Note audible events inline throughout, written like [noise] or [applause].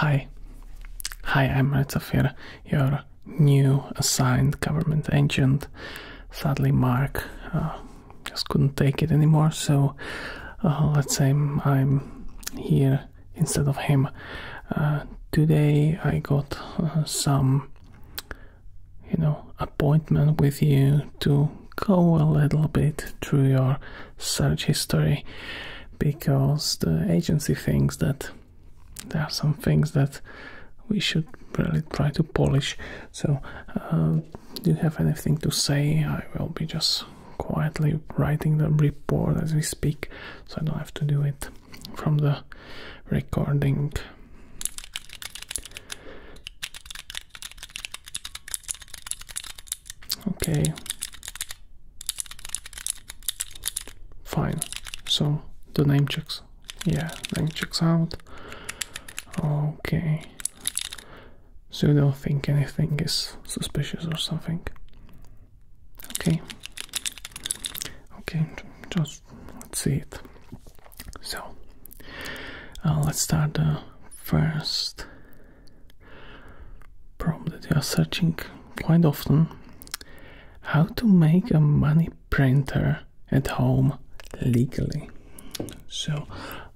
Hi. Hi, I'm Ritzafir, your new assigned government agent. Sadly, Mark uh, just couldn't take it anymore, so uh, let's say I'm here instead of him. Uh, today I got some, you know, appointment with you to go a little bit through your search history because the agency thinks that there are some things that we should really try to polish. So, uh, do you have anything to say? I will be just quietly writing the report as we speak, so I don't have to do it from the recording. Okay. Fine. So the name checks. Yeah, name checks out. Okay. So you don't think anything is suspicious or something? Okay. Okay, just let's see it. So uh, let's start first problem that you are searching quite often how to make a money printer at home legally. So,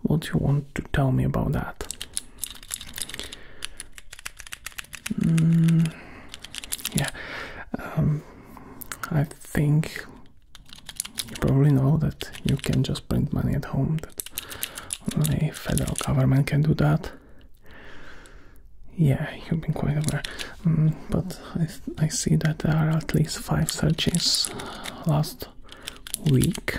what you want to tell me about that? Mm, yeah, um, I think you probably know that you can just print money at home. That only federal government can do that yeah, you've been quite aware. Mm, but I, see that there are at least five searches last week.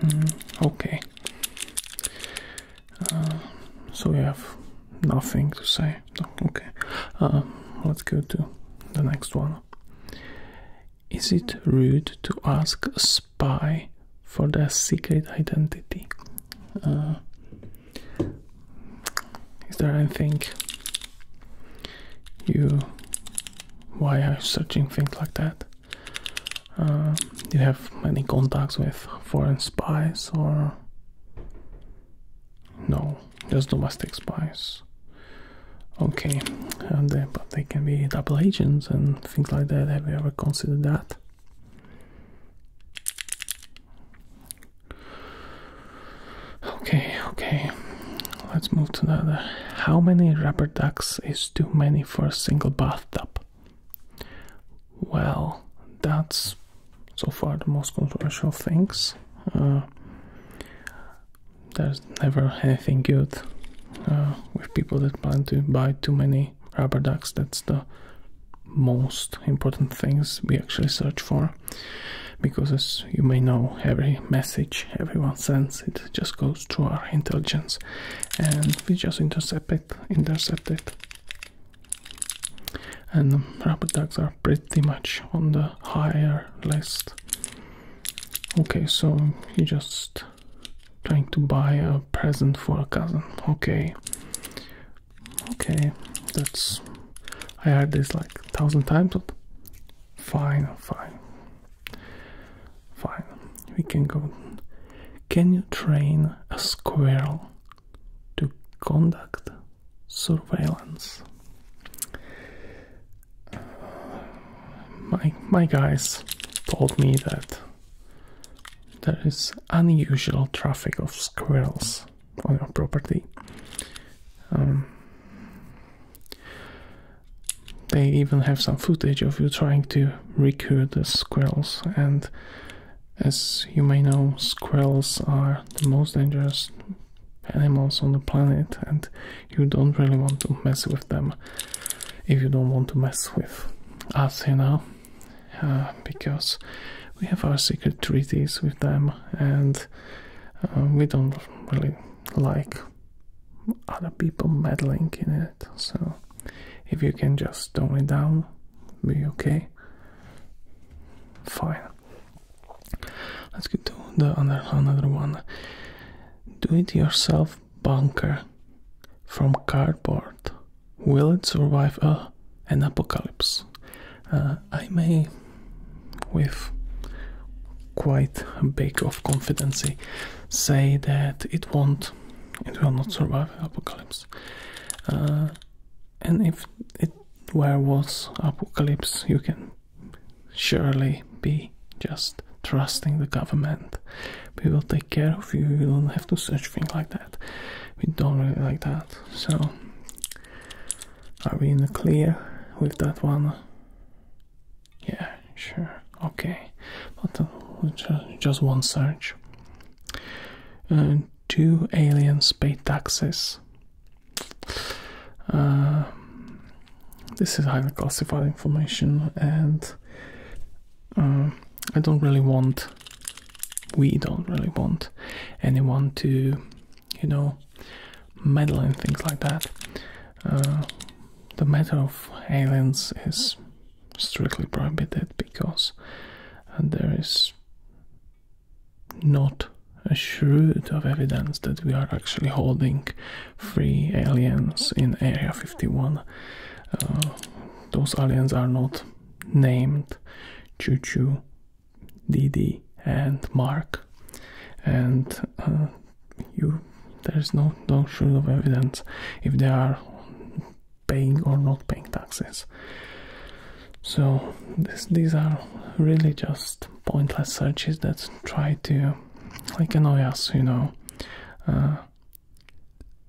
Mm, okay. Uh, so we have nothing to say. okay. Uh, let's go to the next one. Is it rude to ask a spy for their secret identity? Uh, is there anything you. Why are you searching things like that? Uh, do you have many contacts with foreign spies or. No, just domestic spies. Okay, and uh, but they can be double agents and things like that. Have you ever considered that? Okay, okay. Let's move to another. How many rubber ducks is too many for a single bathtub? Well, that's so far the most controversial things. Uh, there's never anything good uh, with people that plan to buy too many rubber ducks. That's the most important things we actually search for because as you may know every message everyone sends it just goes through our intelligence and we just intercept it intercept it and um, rubber ducks are pretty much on the higher list okay so you just Trying to buy a present for a cousin. Okay. Okay. That's. I heard this like a thousand times, but fine, fine. Fine. We can go. Can you train a squirrel to conduct surveillance? my my guys told me that there is unusual traffic of squirrels on your property. Um, they even have some footage of you trying to recruit the squirrels, and as you may know, squirrels are the most dangerous animals on the planet, and you don't really want to mess with them if you don't want to mess with us, you know, uh, because we have our secret treaties with them and uh, we don't really like other people meddling in it. So if you can just tone it down, be okay. Fine. Let's get to the other another one. Do it yourself bunker from cardboard. Will it survive uh, an apocalypse? Uh, I may, with quite a bit of confidence, say that it won't. It will not survive an apocalypse. Uh, and if it were was apocalypse, you can surely be just trusting the government. We will take care of you. You don't have to search things like that. We don't really like that. So, are we in the clear with that one? Yeah, sure. Okay. But just one search. Uh, two aliens pay taxes. Uh, this is highly classified information and um, I don't really want, we don't really want anyone to, you know, meddle in things like that. Uh, the matter of aliens is strictly prohibited because uh, there is not a shred of evidence that we are actually holding three aliens in Area 51. Uh, those aliens are not named Choo Choo, Didi, and Mark, and uh, you. There's no no shred of evidence if they are paying or not paying taxes. So this, these are really just pointless searches that try to like annoy us, you know. Uh,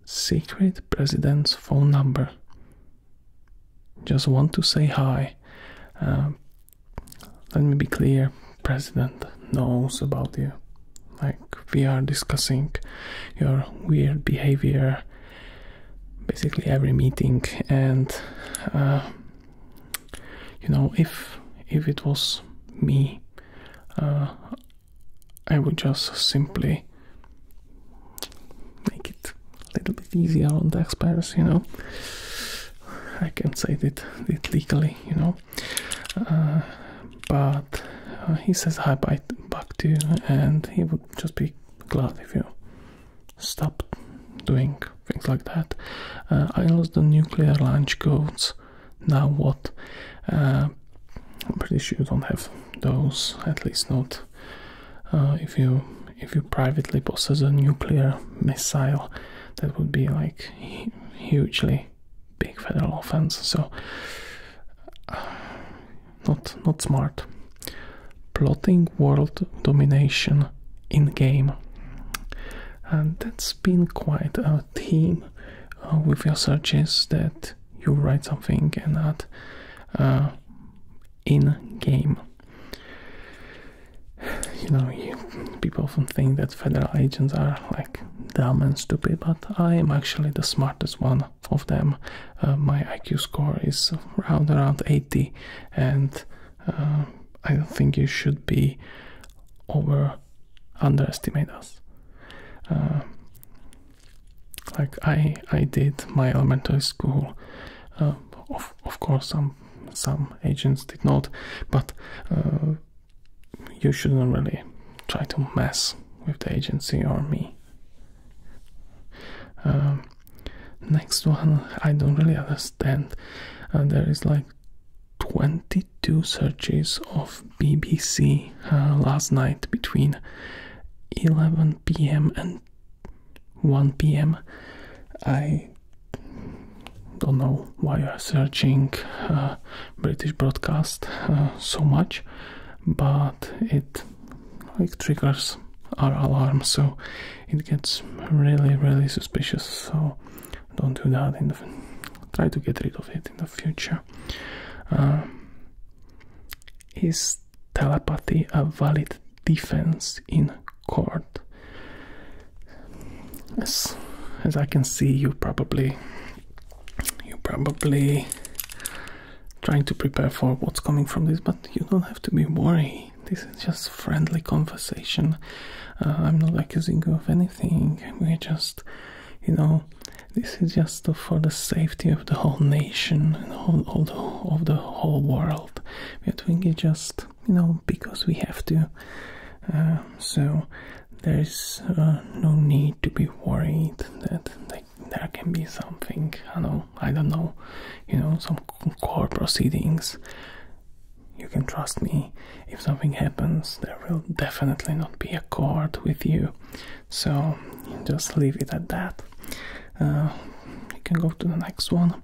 Secret president's phone number. Just want to say hi. Um, let me be clear president knows about you. Like, we are discussing your weird behavior basically every meeting, and uh, you know, if if it was me, uh, I would just simply make it a little bit easier on the taxpayers, you know. I can say that, that legally, you know. Uh, but uh, he says hi bye back to you, and he would just be glad if you stop doing things like that. Uh, I lost the nuclear launch codes now what? Uh, I'm pretty sure you don't have those, at least not uh, if you if you privately possess a nuclear missile. That would be like hugely big federal offense. So [sighs] not not smart. Plotting world domination in game, and that's been quite a uh, Team, a theme uh, with your searches that you write something and not uh, in game. You know, people often think that federal agents are like dumb and stupid, but I am actually the smartest one of them. Uh, my IQ score is around around 80, and uh, I don't think you should be over underestimate us. Um, like I, I did my elementary school. Um, of course, some some agents did not, but uh, you shouldn't really try to mess with the agency or me. Um, next one, I don't really understand. Uh, there is like 22 searches of BBC uh, last night between 11 p.m. and 1 p.m. I don't know why you're searching uh, British broadcast uh, so much, but it like triggers our alarm, so it gets really, really suspicious. So don't do that. try to get rid of it in the future. Um, is telepathy a valid defense in court? As as I can see, you probably you probably trying to prepare for what's coming from this, but you don't have to be worried. This is just friendly conversation. Uh, I'm not accusing you of anything. we just, you know, this is just for the safety of the whole nation and all, of the whole world. We are doing it just, you know, because we have to. Um, so there is uh, no need to be worried that there can be something, I know, I don't know, you know, some court proceedings. You can trust me if something happens, there will definitely not be a cord with you. So just leave it at that. Uh, you can go to the next one.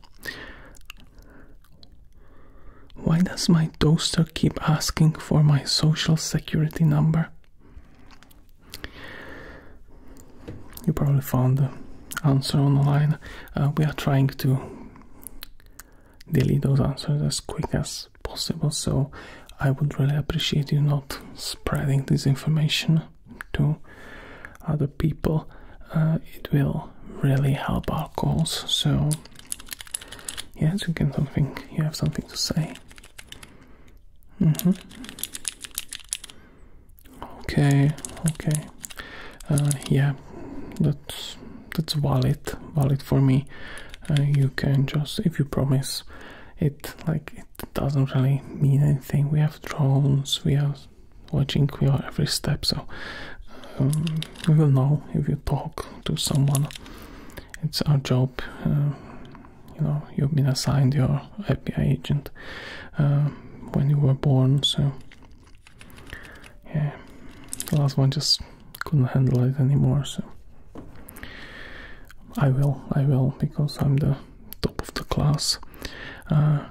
Why does my toaster keep asking for my social security number? You probably found the answer online. Uh, we are trying to delete those answers as quick as possible. So I would really appreciate you not spreading this information to other people. Uh, it will really help our cause. So yes, you can something. You have something to say. Mm -hmm. Okay, okay. Uh, yeah, that's that's valid, valid for me. Uh, you can just if you promise it like it doesn't really mean anything we have drones we are watching We are every step so um, we will know if you talk to someone it's our job uh, you know you've been assigned your FBI agent uh, when you were born so yeah last one just couldn't handle it anymore. So I will, I will, because I'm the top of the class. Uh,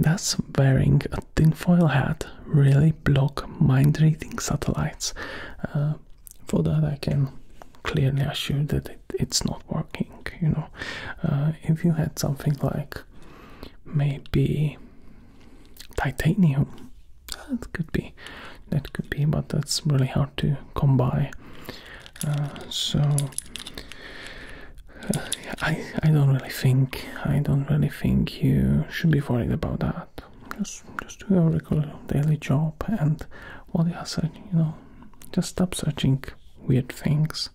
does wearing a tin foil hat really block mind reading satellites? Uh, for that, I can clearly assure that it's not working. You know, uh, if you had something like maybe titanium that could be, that could be, but that's really hard to come by. Uh, so uh, I I don't really think I don't really think you should be worried about that. Just just do your regular daily job and what you are you know, just stop searching weird things.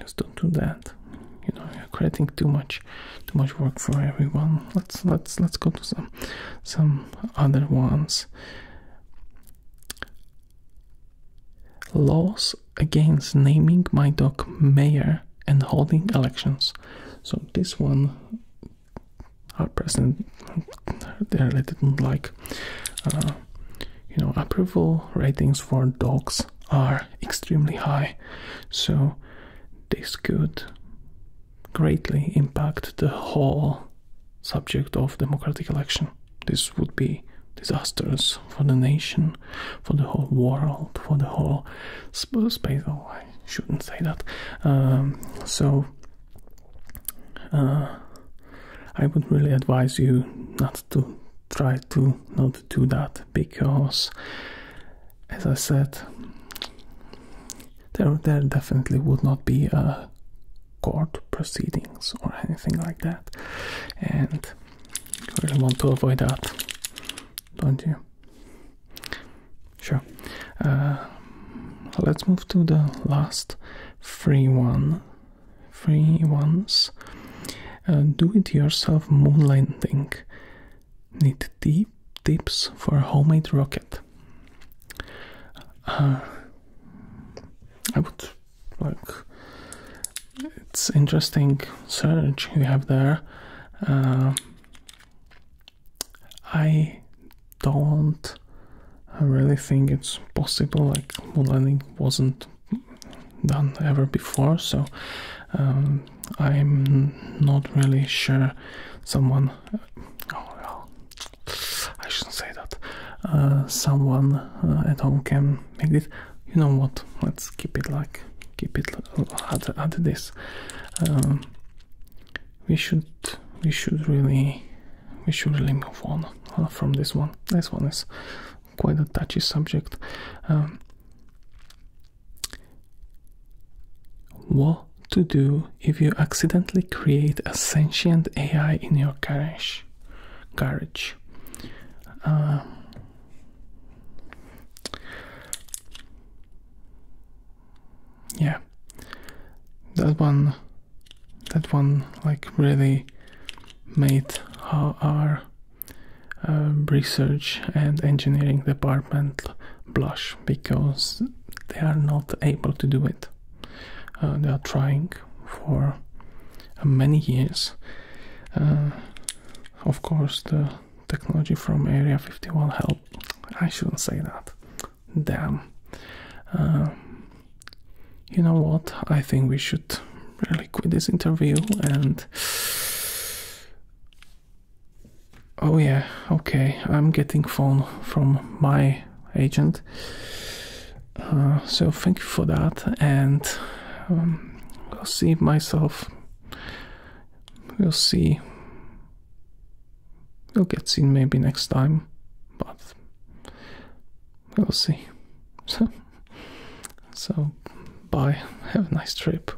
Just don't do that. You know, you're creating too much too much work for everyone. Let's let's let's go to some some other ones. Laws against naming my dog mayor and holding elections. So this one, our president, they really didn't like. Uh, you know, approval ratings for dogs are extremely high, so this could greatly impact the whole subject of democratic election. This would be disastrous for the nation, for the whole world, for the whole space. Oh, I shouldn't say that. Um, so, uh, I would really advise you not to try to not do that because as I said, there there definitely would not be a court proceedings or anything like that, and we want to avoid that, don't you? Sure. Uh, let's move to the last free one, free ones. Uh, Do-it-yourself moonlighting Need deep tips for a homemade rocket. Uh, I would like it's interesting search you have there. Uh, I don't I really think it's possible. Like moon landing wasn't done ever before, so um, I'm not really sure someone. Oh, well, I shouldn't say that. Uh, someone uh, at home can make it. You know what? Let's keep it like keep it at, at this. Um, we should we should really we should really move on uh, from this one. This one is quite a touchy subject. Um, what to do if you accidentally create a sentient AI in your garage? Garage. Um, yeah, that one, that one, like really made our uh, research and engineering department blush because they are not able to do it. Uh, they are trying for uh, many years. Uh, of course, the technology from Area 51 help. I shouldn't say that. Damn. you know what? I think we should really quit this interview and Oh yeah, okay. I'm getting phone from my agent. Uh, so thank you for that, and um, I'll see myself. We'll see. We'll get seen maybe next time, but we'll see. So, [laughs] so bye. Have a nice trip.